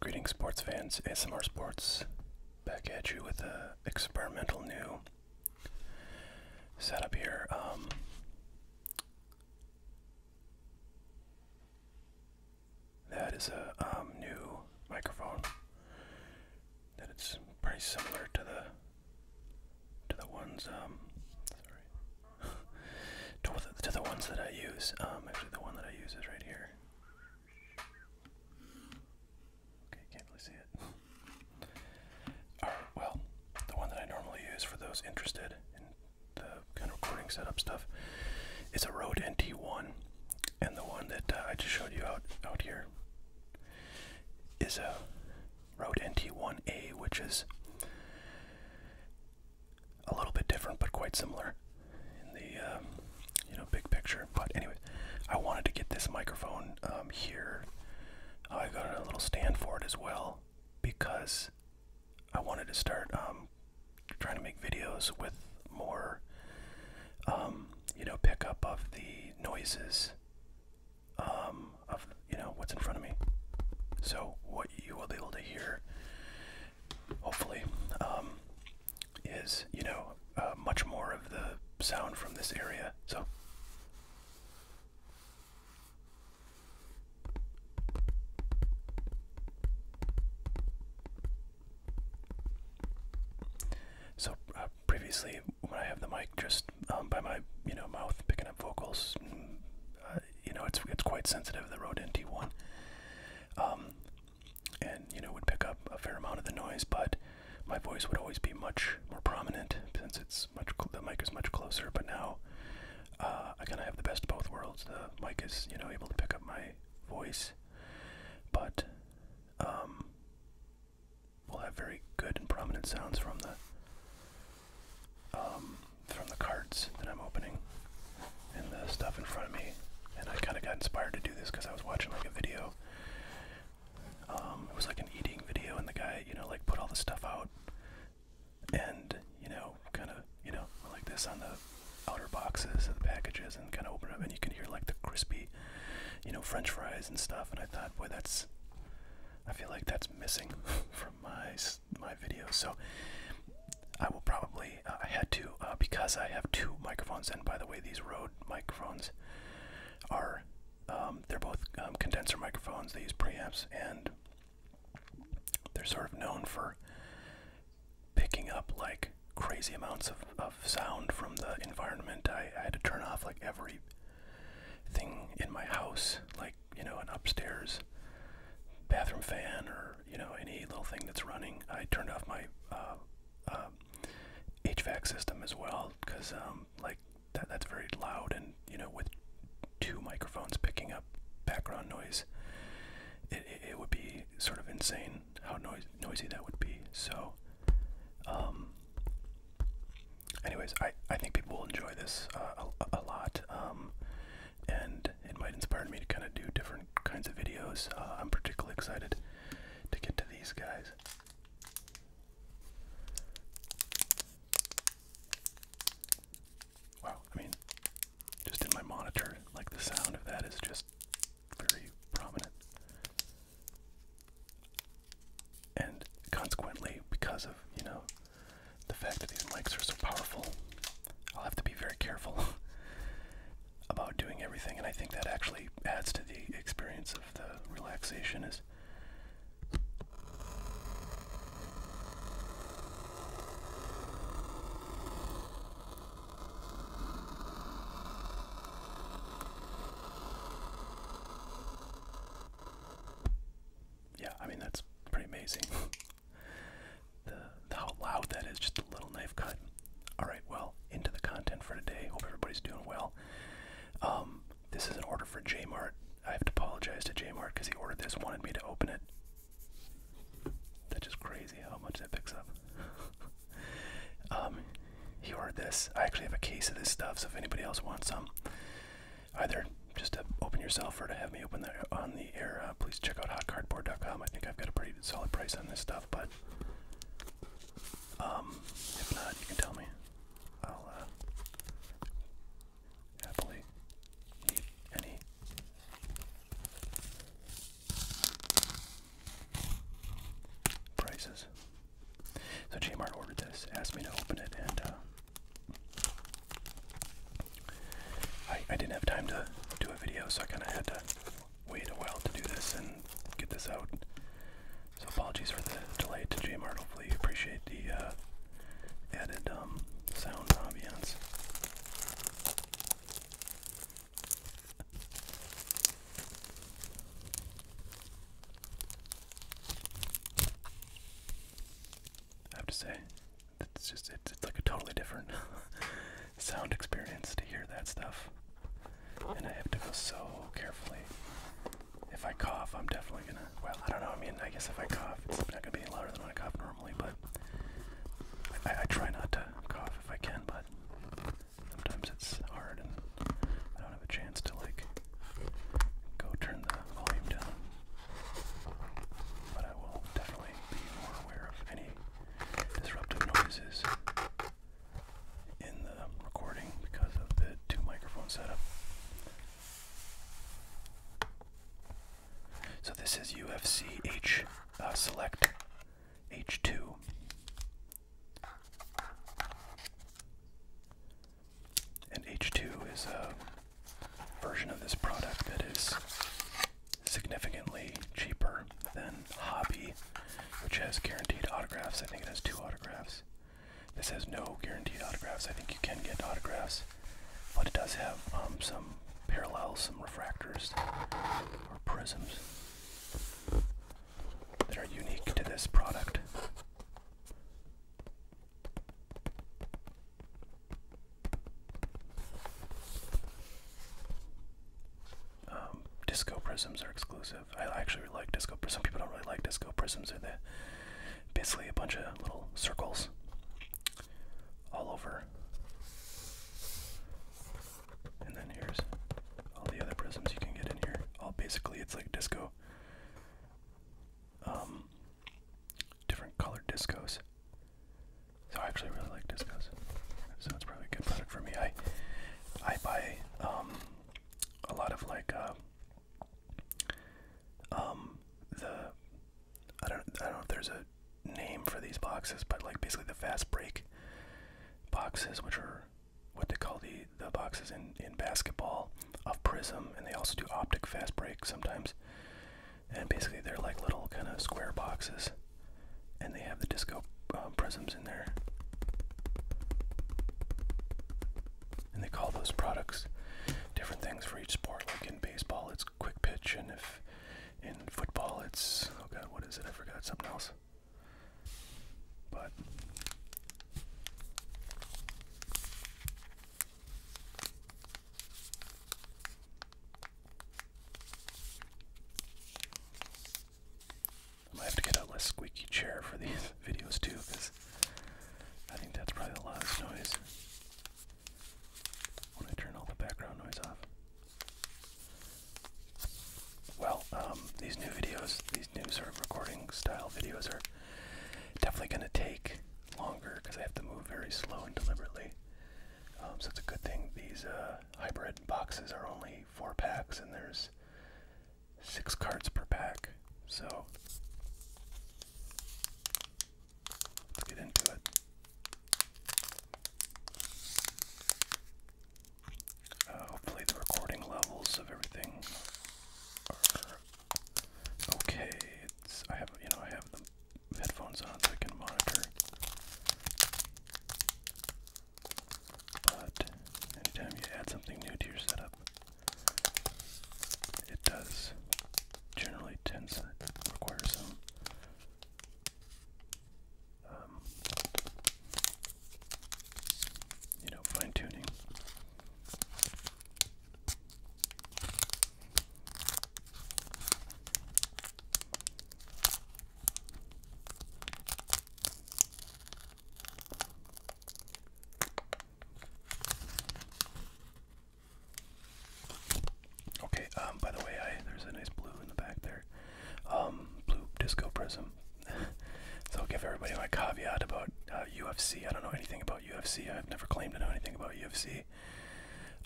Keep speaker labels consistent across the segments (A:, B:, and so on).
A: Greetings, sports fans. ASMR Sports back at you with a experimental new setup here. Um, that is a um, new microphone. That it's pretty similar to the to the ones um, sorry to, the, to the ones that I use. Um, actually, the one that I use is right here. Okay, can't really see it. well, the one that I normally use for those interested in the kind of recording setup stuff is a Rode NT1 and the one that uh, I just showed you out out here is a Road NT1A, which is a little bit different but quite similar in the um, you know big picture. But anyway, I wanted to get this microphone um, here. I got a little stand for it as well because I wanted to start um, trying to make videos with more you know, pickup of the noises um, of, you know, what's in front of me. So what you will be able to hear, hopefully, um, is, you know, uh, much more of the sound from this area. So. So uh, previously, when I have the mic just um, by my you know mouth picking up vocals, mm, uh, you know it's it's quite sensitive. The Rode NT1, um, and you know would pick up a fair amount of the noise, but my voice would always be much more prominent since it's much the mic is much closer. But now uh, I kind of have the best of both worlds. The mic is you know able to pick up my voice, but um, will have very good and prominent sounds from the um, from the cards that I'm opening and the stuff in front of me. And I kind of got inspired to do this because I was watching like a video. Um, it was like an eating video, and the guy, you know, like put all the stuff out, and you know, kind of, you know, like this on the outer boxes of the packages, and kind of open them, and you can hear like the crispy you know, French fries and stuff. And I thought, boy, that's I feel like that's missing from my my videos. So I will probably uh, I had to uh, because I have two microphones. And by the way, these Rode microphones are um, they're both um, condenser microphones. They use preamps, and they're sort of known for picking up like crazy amounts of, of sound from the environment. I, had to turn off like every thing in my house, like, you know, an upstairs bathroom fan or, you know, any little thing that's running. I turned off my HVAC uh, uh, system as well because, um, like, that, that's very loud and, you know, with two microphones picking up background noise, it, it would be sort of insane how noisy that would be. So, um, anyways, I I think people will enjoy this uh, a, lot, um, and it might inspire me to kind of do different kinds of videos. Uh, I'm particularly excited to get to these guys. Wow, I mean, just in my monitor, like the sound of that is just very prominent. And consequently, because of, you know, the fact that these mics are so powerful, I'll have to be very careful about doing everything. And I think that actually adds to the experience of the relaxation is yeah, I mean that's pretty amazing. the, how loud that is, just a little knife cut. Alright, well, into the content for today. Hope everybody's doing well. Um, this is an order for Jmart. I have to apologize to Jmart because he ordered this, wanted me to open it. That's just crazy how much that picks up. um, he this. I actually have a case of this stuff, so if anybody else wants some, either just to open yourself or to have me open that on the air, uh, please check out hotcardboard.com. I think I've got a pretty solid price on this stuff, but um, if not, you can tell me. I'll uh, happily eat any prices. So Jmart ordered this, asked me to open it, and uh, I, I didn't have time to do a video, so I kind of had to wait a while to do this and get this out. So apologies for the delay to Jmart. Hopefully you appreciate the uh, added um, sound ambiance. I have to say, it's just it's, like a totally different sound experience to hear that stuff. And I have to go so carefully. If I cough, I'm definitely gonna. Well, I don't know. I mean, I guess if I cough, it's not gonna be any louder than when I cough normally, but I try not to cough if I can, but sometimes it's hard and I don't have a chance to like go turn the volume down. But I will definitely be more aware of any disruptive noises in the recording because of the two microphone setup. So this is UFC H uh, Select H2. And H2 is a version of this product that is significantly cheaper than Hobby, which has guaranteed autographs. I think it has two autographs. This has no guaranteed autographs. I think you can get autographs, but it does have um, some parallels, some refractors, or prisms that are unique to this product. Um, disco prisms are exclusive. I actually really like disco prisms. Some people don't really like disco prisms. They're basically a bunch of little circles all over and then here's all the other prisms you can get in here. All basically it's like disco. Um different colored discos. So I actually really like discos. So it's probably a good product for me. I I buy um a lot of like uh um the I don't I don't know if there's a name for these boxes, but like basically the fast break boxes which are what they call the the boxes in in basketball of prism, and they also do optic fast break sometimes. And basically, they're like little kind of square boxes, and they have the disco uh, prisms in there. And they call those products different things for each sport. Like in baseball, it's quick pitch, and if in football, it's oh god, what is it? I forgot something else. But I might have to get a less squeaky chair for these videos too, because I think that's probably the loudest noise when I turn all the background noise off well, um, these new videos, these new sort of recording style videos are definitely going to take longer because I have to move very slow and deliberately. Um, so it's a good thing these uh, hybrid boxes are only four packs and there's six cards per pack. So let's get into it. Uh, hopefully the recording levels of everything are okay. I have you know I have the headphones on so I can monitor. But anytime you add something new to your setup, it does generally tends to require some um, you know, fine tuning. Okay, um by the way, I there's a nice blue in the back there. Um blue disco prism so I'll give everybody my caveat about UFC. Uh, I don't know anything about UFC. I've never claimed to know anything about UFC.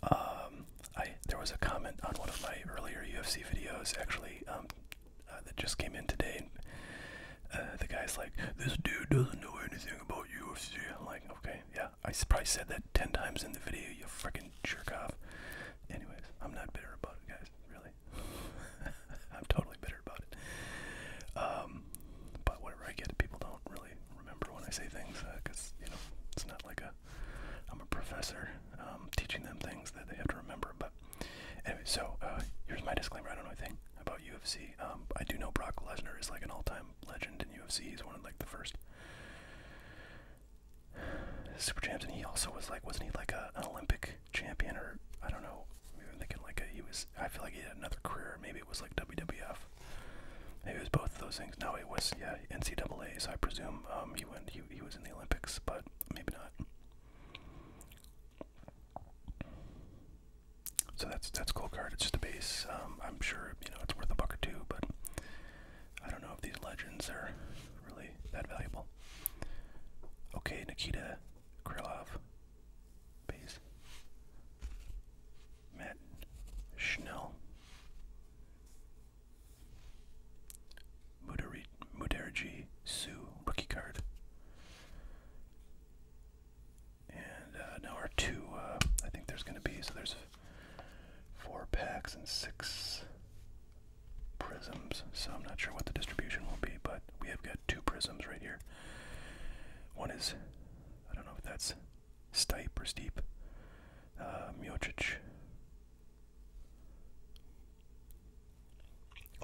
A: Um, I there was a comment on one of my earlier UFC videos actually um, uh, that just came in today. Uh, the guy's like, "This dude doesn't know anything about UFC." I'm like, "Okay, yeah." I probably said that ten times in the video. You freaking jerk off. Anyways, I'm not bitter about it, guys. Really, I'm totally bitter about it. Um, but whatever I get, people don't really remember when I say things because uh, you know it's not like a I'm a professor um, teaching them things that they have to remember. But anyway, so uh, here's my disclaimer. I don't know anything about UFC. Um, I do know Brock Lesnar is like an all-time legend in UFC. He's one of like the first super champs, and he also was like, wasn't he like a, an Olympic champion, or I don't know. Maybe I'm thinking like he was. I feel like he had another career. Maybe it was like WWF. Maybe it was both of those things. No, it was yeah NCAA. So I presume um, he went. He he was in the Olympics, but maybe not. So that's that's cool card. It's just a base. Um, I'm sure you know it's worth a buck or two, but I don't know if these legends are really that valuable. Okay, Nikita Krylov, Peace. Matt Schnell. Muderji Sue, rookie card. And uh, now our two, uh, I think there's going to be, so there's four packs and six prisms, so I'm not sure what the distribution will be, but we have good two prisms right here. One is, I don't know if that's Stipe or Steep, uh, Miocic.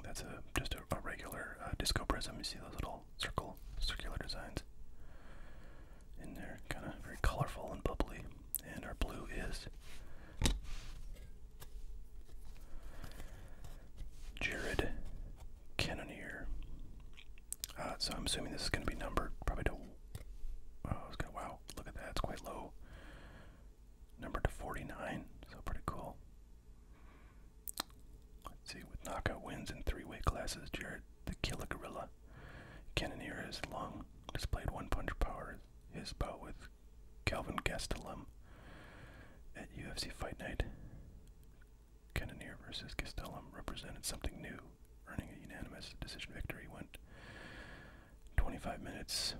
A: That's a just a, regular uh, disco prism. You see those little circle, circular designs in there, kind of very colorful and bubbly. And our blue is Jared Cannonier. Uh, so I'm assuming this is going to be numbered probably to. Oh, gonna, wow, look at that. It's quite low. Numbered to 49, so pretty cool. Let's see, with knockout wins in three weight classes, Jared the Killer Gorilla. Cannonier has long displayed one punch power. His bout with Calvin Gastelum at UFC Fight Night, Cannonier versus Castellum represented something new, earning a unanimous decision victory. Went 25 minutes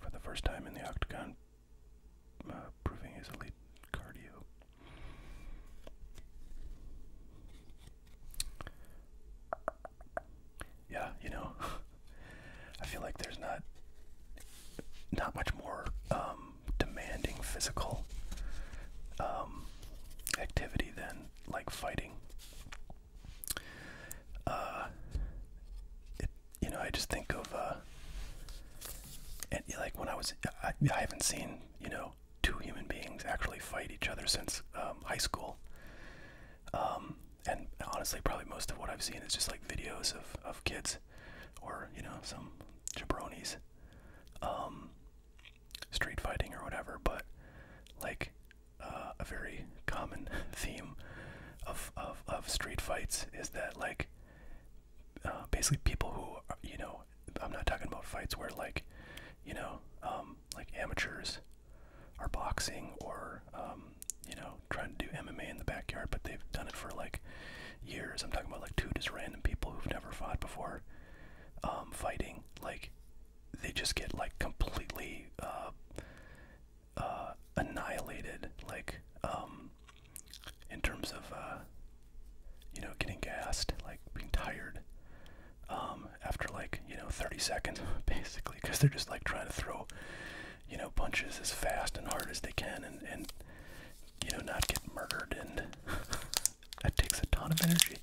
A: for the first time in the octagon, uh, proving his elite cardio. Yeah, you know, I feel like there's not not much more um, demanding physical um, activity then like fighting. Uh, you know, I just think of uh, and like when I was, I, haven't seen you know two human beings actually fight each other since um, high school. Um, and honestly, probably most of what I've seen is just like videos of of kids or you know some jabronis um, street fighting or whatever but like uh, a very common theme of, of of street fights is that like uh, basically people who you know i'm not talking about fights where like you know um, like amateurs are boxing or um, you know trying to do MMA in the backyard, but they've done it for like years. I'm talking about like two just random people who've never fought before, um, fighting. Like they just get like completely uh, uh, annihilated, like um, in terms of uh, you know getting gassed, like being tired. Um, after like you know 30 seconds basically because they're just like trying to throw you know punches as fast and hard as they can and and you know, not get murdered, and that takes a ton of energy.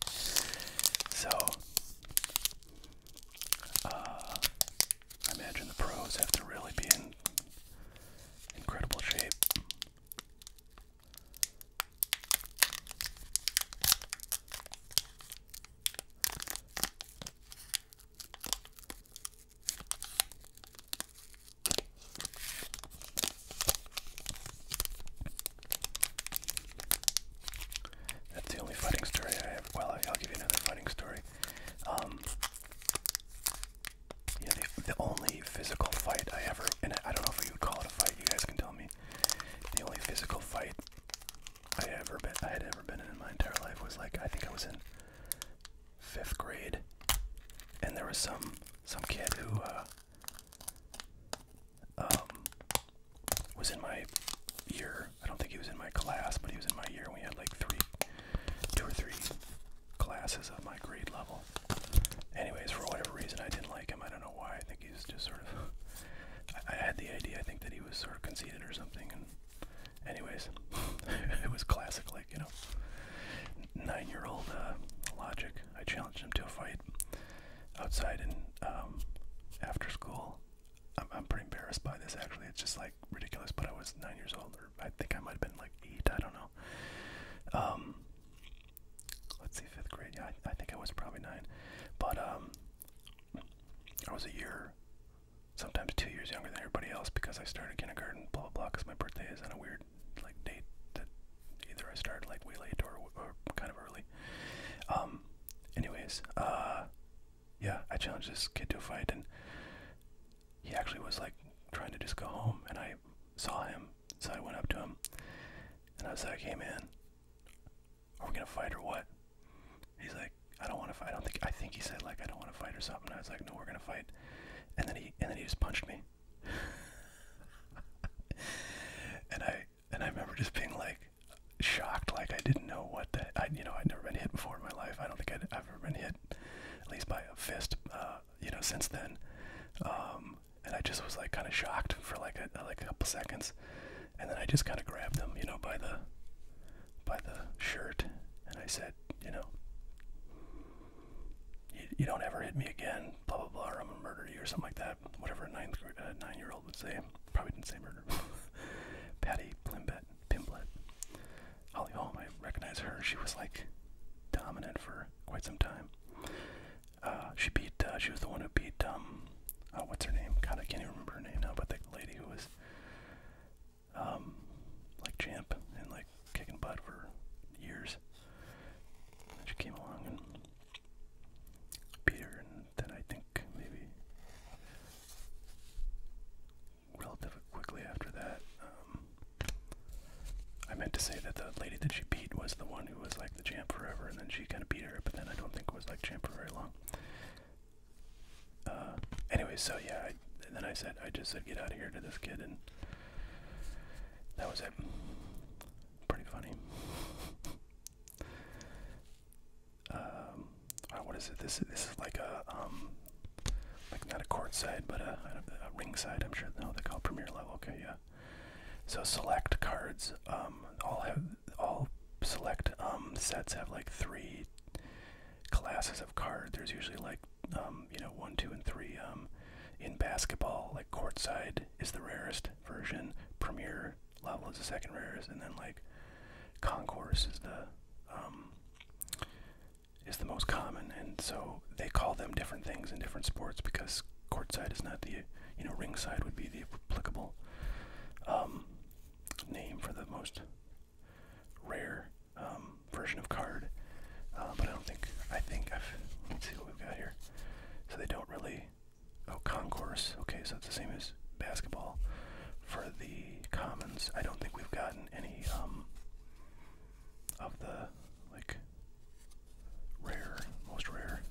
A: So, uh, I imagine the pros have to really be in incredible shape. That's the only fighting story I have. Well, I'll give you another fighting story. Um, the, the only physical fight I ever, and I don't know if you would call it a fight. You guys can tell me. The only physical fight I ever been, I had ever been in, in my entire life was like I think I was in fifth grade, and there was some some kid who uh, um, was in my year. I don't think he was in my class, but he was in my year. We had like three, two or three classes of my grade level. Anyways, for whatever reason, I didn't like him. I don't know why. I think he was just sort of. I had the idea. I think that he was sort of conceited or something, and. Anyways, it was classic, like, you know nine-year-old uh, Logic. I challenged him to a fight outside and um, after school. I'm, I'm pretty embarrassed by this. Actually, it's just like ridiculous. But I was nine years old, or I think I might have been like eight. I don't know. Um, let's see, fifth grade. Yeah, I, think I was probably nine. But um, I was a year, sometimes two years younger than everybody else because I started kindergarten. Blah blah blah. Because my birthday is kind of weird like date that either I started like way late or, kind of early. Um, anyways, uh, yeah, I challenged this kid to a fight, and he actually was like trying to just go home, and I saw him, so I went up to him, and I was like, "Hey, man, are we gonna fight or what?" He's like, "I don't want to fight. I don't think. I think he said like I don't want to fight or something." I was like, "No, we're gonna fight," and then he and then he just punched me, and I and I remember just being like shocked, like I didn't know what that. I you know I'd never been hit before in my life. I don't think I'd ever been hit, at least by a fist. Uh, you know, since then. Um, and I just was like kind of shocked for like a like a couple seconds, and then I just kind of grabbed them, you know, by the by the shirt, and I said, you know, you, you don't ever hit me again, blah blah blah, I'm gonna murder you or something like that. Whatever a ninth grade, uh, nine-year-old would say. Probably didn't say murder. Patty Plimbett, Pimblet, Holly Holm. I recognize her. She was like dominant for quite some time. Uh, she beat. Uh, she was the one who beat. Um, uh, what's her name? Kinda can't even remember her name now. But the lady who was, um, like champ and like kicking butt for years. And she came along and beat her, and then I think maybe relatively quickly after that, um, I meant to say that the lady that she beat was the one who was like the champ forever, and then she kind of beat her, but then I don't think it was like champ for very long. Uh, anyway, so yeah, and then I said I just said get out of here to this kid and that was it. Pretty funny. Um, oh, what is it? This this is like a um, like not a court side, but a, ring side. I'm sure. No, they call premier level. Okay, yeah. So select cards. Um, all have all select um sets have like three classes of card. There's usually like um, you know one, two, and three. Um, in basketball, like courtside is the rarest version. Premier level is the second rarest, and then like concourse is the um, is the most common. And so they call them different things in different sports because courtside is not the you know ringside would be the applicable um, name for the most rare um, version of card. Uh, but I don't think, I think I've, let's see what we've got here. So they don't really, oh, concourse. Okay, so it's the same as basketball. For the commons, I don't think we've gotten any um, of the, like, rare, most rare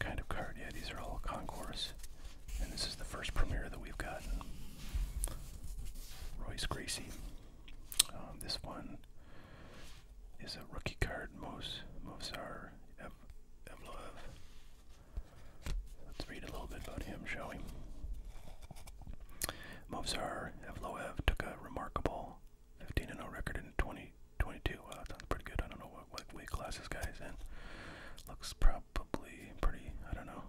A: kind of card. Yeah, these are all concourse. And this is the first premiere that we've gotten. Royce Gracie. Um, this one is a rookie card, Mos Movsar Ev Evloev. Let's read a little bit about him, shall we? Movsar Evloev took a remarkable 15 0 record in 2022. 20, sounds pretty good. I don't know what, weight class this guy's in. Looks probably pretty, I don't know.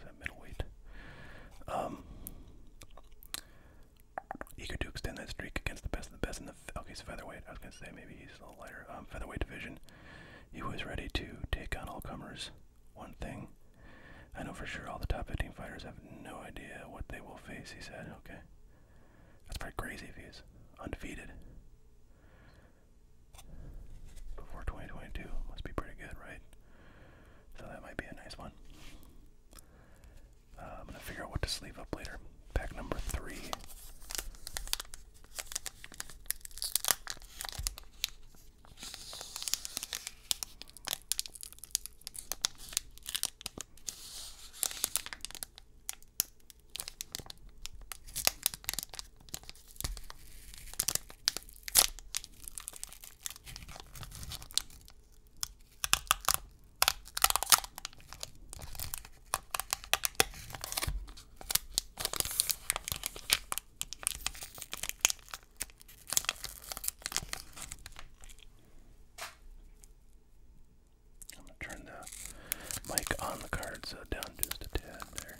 A: Is that middleweight? Um, Eager to extend that streak against the best of the best in the. Okay, featherweight. I was gonna say maybe he's a little lighter. Um, featherweight division. He was ready to take on all comers. One thing, I know for sure all the top 15 fighters have no idea what they will face. He said, "Okay, that's pretty crazy if he's undefeated." Before 2022 must be pretty good, right? So that might be a nice one. I'm going to figure out what to sleeve up later. Pack number three. I'm going to turn the mic on the card so down just a tad there.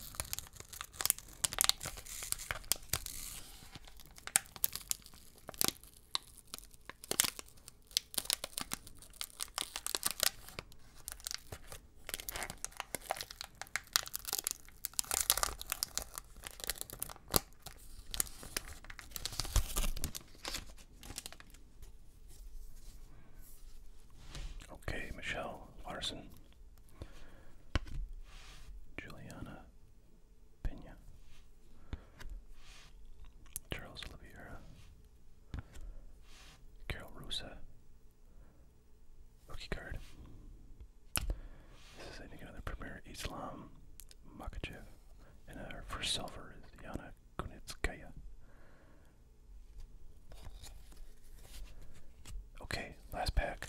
A: Okay, Michelle Larson, Juliana Pena, Charles Oliveira, Carol Rosa, rookie card. This is I think another premier Islam Mokajev, and our first silver is Yana Kunitskaya. Okay, last pack.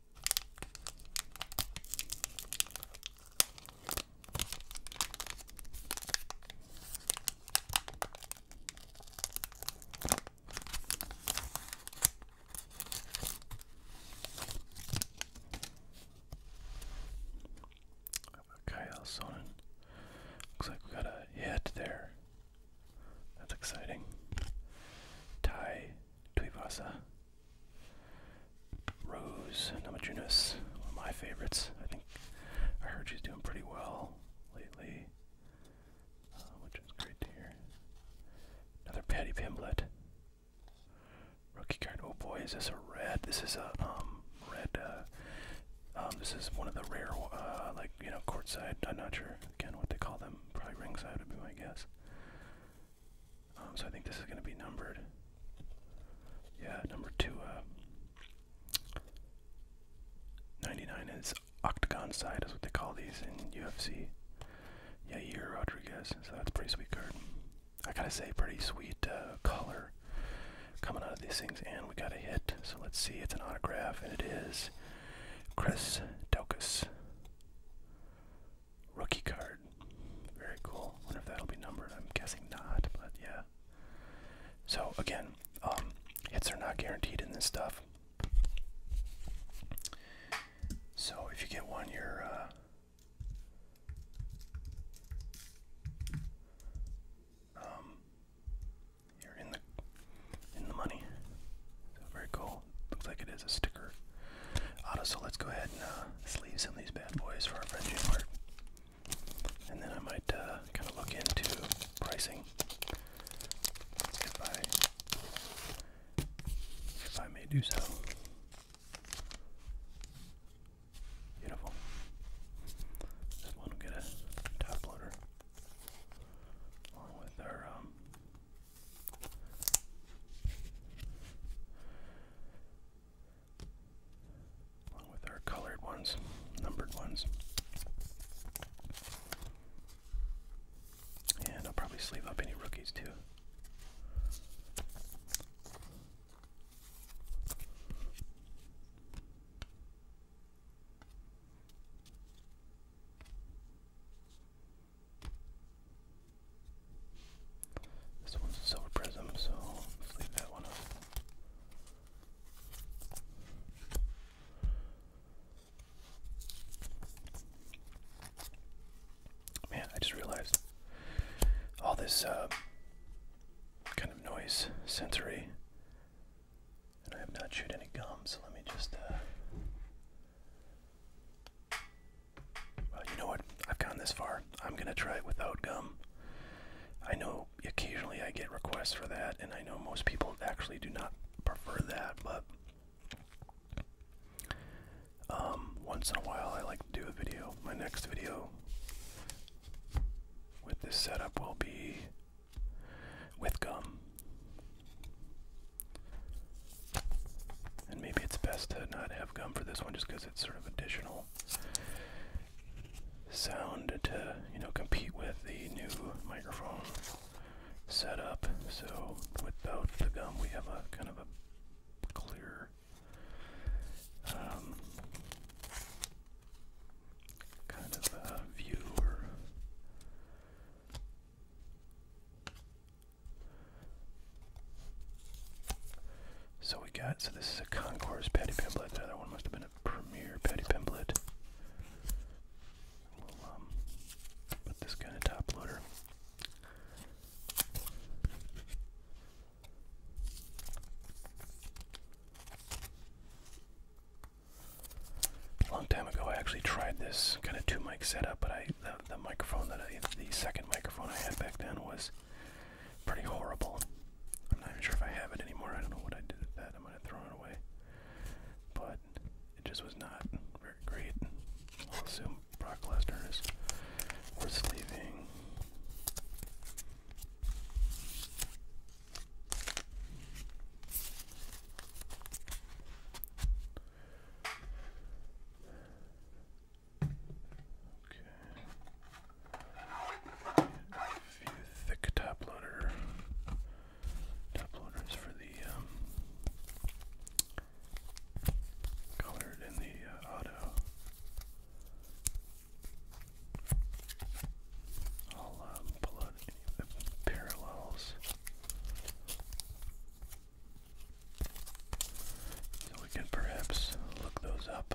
A: Kyle Sonnen. Looks like we got a hit there. That's exciting. Ty Tuivasa. Rose Namajunas, one of my favorites. I think I heard she's doing pretty well lately, uh, which is great to hear. Another Patty Pimblett Rookie card. Oh boy, is this a red? This is a um red. Uh, um, this is one of the rare, uh, like you know, courtside. I'm not sure again what they call them. Probably ringside would be my guess. Um, so I think this is going to be numbered. Yeah, number two, uh, 99 is octagon side is what they call these in UFC. Yeah, Yair Rodriguez, so that's pretty sweet card. I gotta say, pretty sweet uh, color coming out of these things, and we got a hit. So let's see, it's an autograph, and it is Chris Daukus. Rookie card. Very cool. Wonder if that'll be numbered. I'm guessing not, but yeah. So again, um, hits are not guaranteed in this stuff. So if you get one, you're uh, um, you're in the in the money. very cool. Looks like it is a sticker. auto, so let's go ahead and uh, sleeve some of these bad boys for our friend Jim Hart. And then I might uh, kind of look into pricing. If I, if I may do so. Beautiful. This one will get a top loader along with our um, Along with our colored ones, numbered ones. And I'll probably sleeve up any rookies too. This one's a silver prism, so let's leave that one off. Man, I just realized all this uh, kind of noise sensory, and I have not chewed any gum, so let me just. Uh, well, you know what? I've gone this far. I'm going to try it without gum. I know occasionally I get requests for that, and I know most people actually do not prefer that, but um, once in a while I like to do a video. My next video with this setup will be with gum. And maybe it's best to not have gum for this one just because it's sort of additional sound to, you know, compete with the new microphone setup. So without the gum we have a kind of a clear um, kind of a view so we got, so this is a Concourse Patty Pimblet. The other one must have been a Premier Patty Pimblet. We'll um, put this kind of top loader. A long time ago, I actually tried this kind of two mic setup, but I, the, microphone that I, the second microphone I had back then was pretty horrible. I'm not even sure if I have it anymore. I don't know what I did with that. I am gonna throw it away. But it just was not very great. I'll assume Brock Lesnar is worth leaving. Okay. Few thick top loader. Top loaders for the um, colored and the uh, auto. I'll um, pull out any parallels we can perhaps look those up.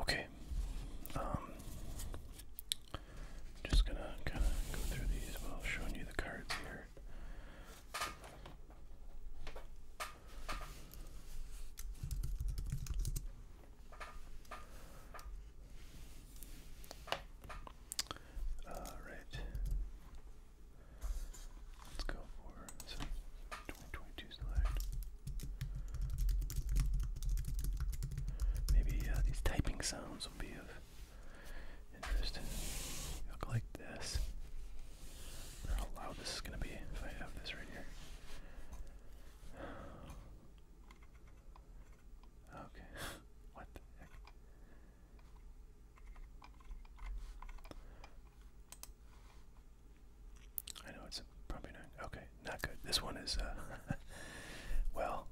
A: Okay. Um, just gonna kinda go through these while showing you the cards here. All uh, right. Let's go for 2022 select. Maybe uh, these typing sounds will be of interest. Look like this. how loud this is going to be if I have this right here. Okay. what the heck? I know it's probably not. Okay not good. This one is, uh, well.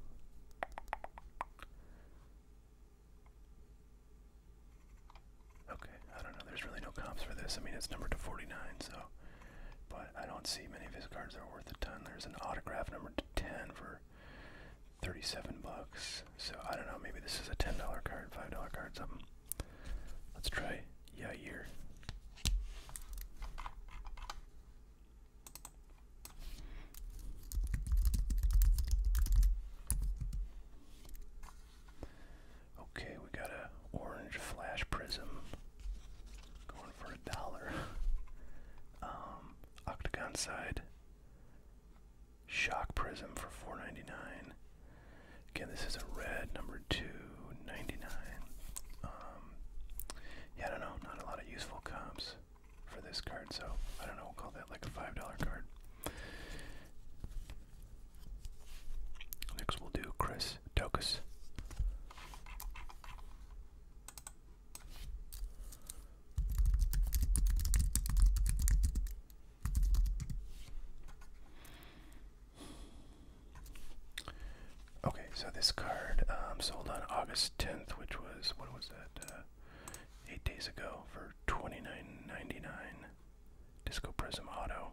A: Okay, I don't know. There's really no comps for this. I mean, it's numbered to 49, so. But I don't see many of his cards that are worth a ton. There's an autograph number to 10 for 37 bucks. So I don't know. Maybe this is a $10 card, $5 card, something. Let's try Yeah, here. Okay, we got a orange flash prism going for a dollar. Um, octagon side shock prism for 4.99. Again, this is a red number two. 99. Um, yeah, I don't know. Not a lot of useful comps for this card, so I don't know. We'll call that like a $5 card. Next, we'll do Chris Tokus. Okay, so this card um, sold on August 10th, which was, what was that, uh, 8 days ago for $29.99. Disco Prism Auto.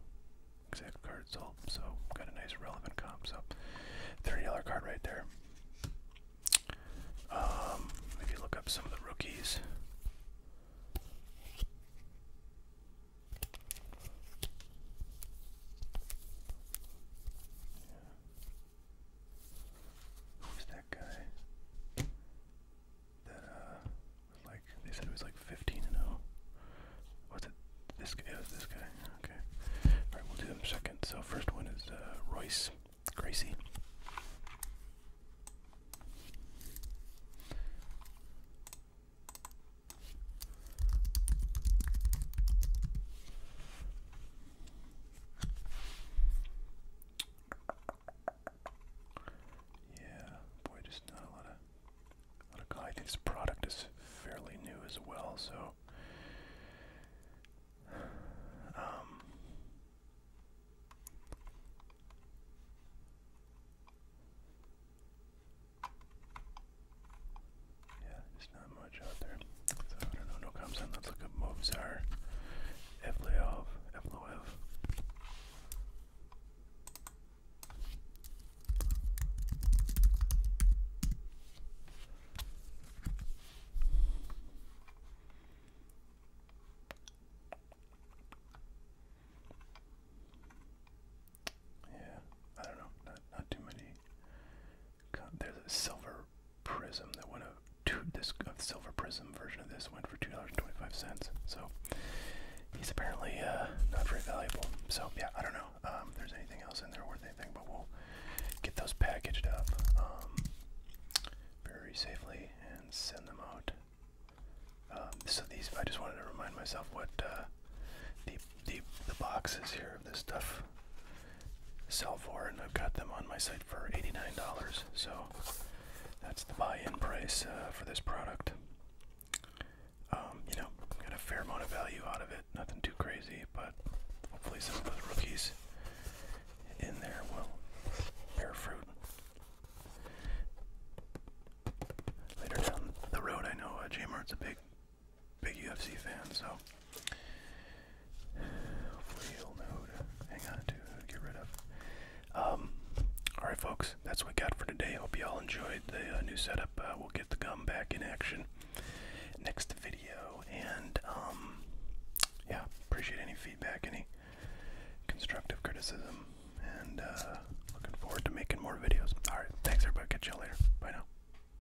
A: Exact card sold, so got a nice relevant comp. So $30 card right there. Maybe um, look up some of the rookies. Yeah. Who's that guy? That uh like they said it was like fifteen and oh. it? This guy? Yeah, it was this guy. Okay. All right, we'll do them second. So first one is uh, Royce Gracie. Yeah, boy, just not a lot of, a lot of. I this product is fairly new as well, so. Um, yeah, there's not much out there. So I don't know, no comments on. Let's look up Mozart, Evloev, Evloev. Yeah, I don't know, not not too many there's a silver prism that went up. Two, this silver prism version of this went for two dollars and twenty-five cents. So he's apparently uh, not very valuable. So yeah, I don't know um, if there's anything else in there worth anything, but we'll get those packaged up um, very safely and send them out. Um, so these, I just wanted to remind myself what uh, the the the boxes here of this stuff sell for, and I've got them on my site for $89. So that's the buy-in price uh, for this product. Um, you know, got a fair amount of value out of it. Nothing too crazy, but hopefully some of those rookies in there will bear fruit. Later down the road, I know uh, marts a big big UFC fan, so hopefully you'll know who to hang on to, get rid of. Um, all right, folks, that's what we got for today. Hope you all enjoyed the uh, new setup. Uh, we'll get the gum back in action next video, and um, yeah, appreciate any feedback, any constructive criticism, and uh, looking forward to making more videos. All right, thanks everybody. Catch y'all later. Bye now.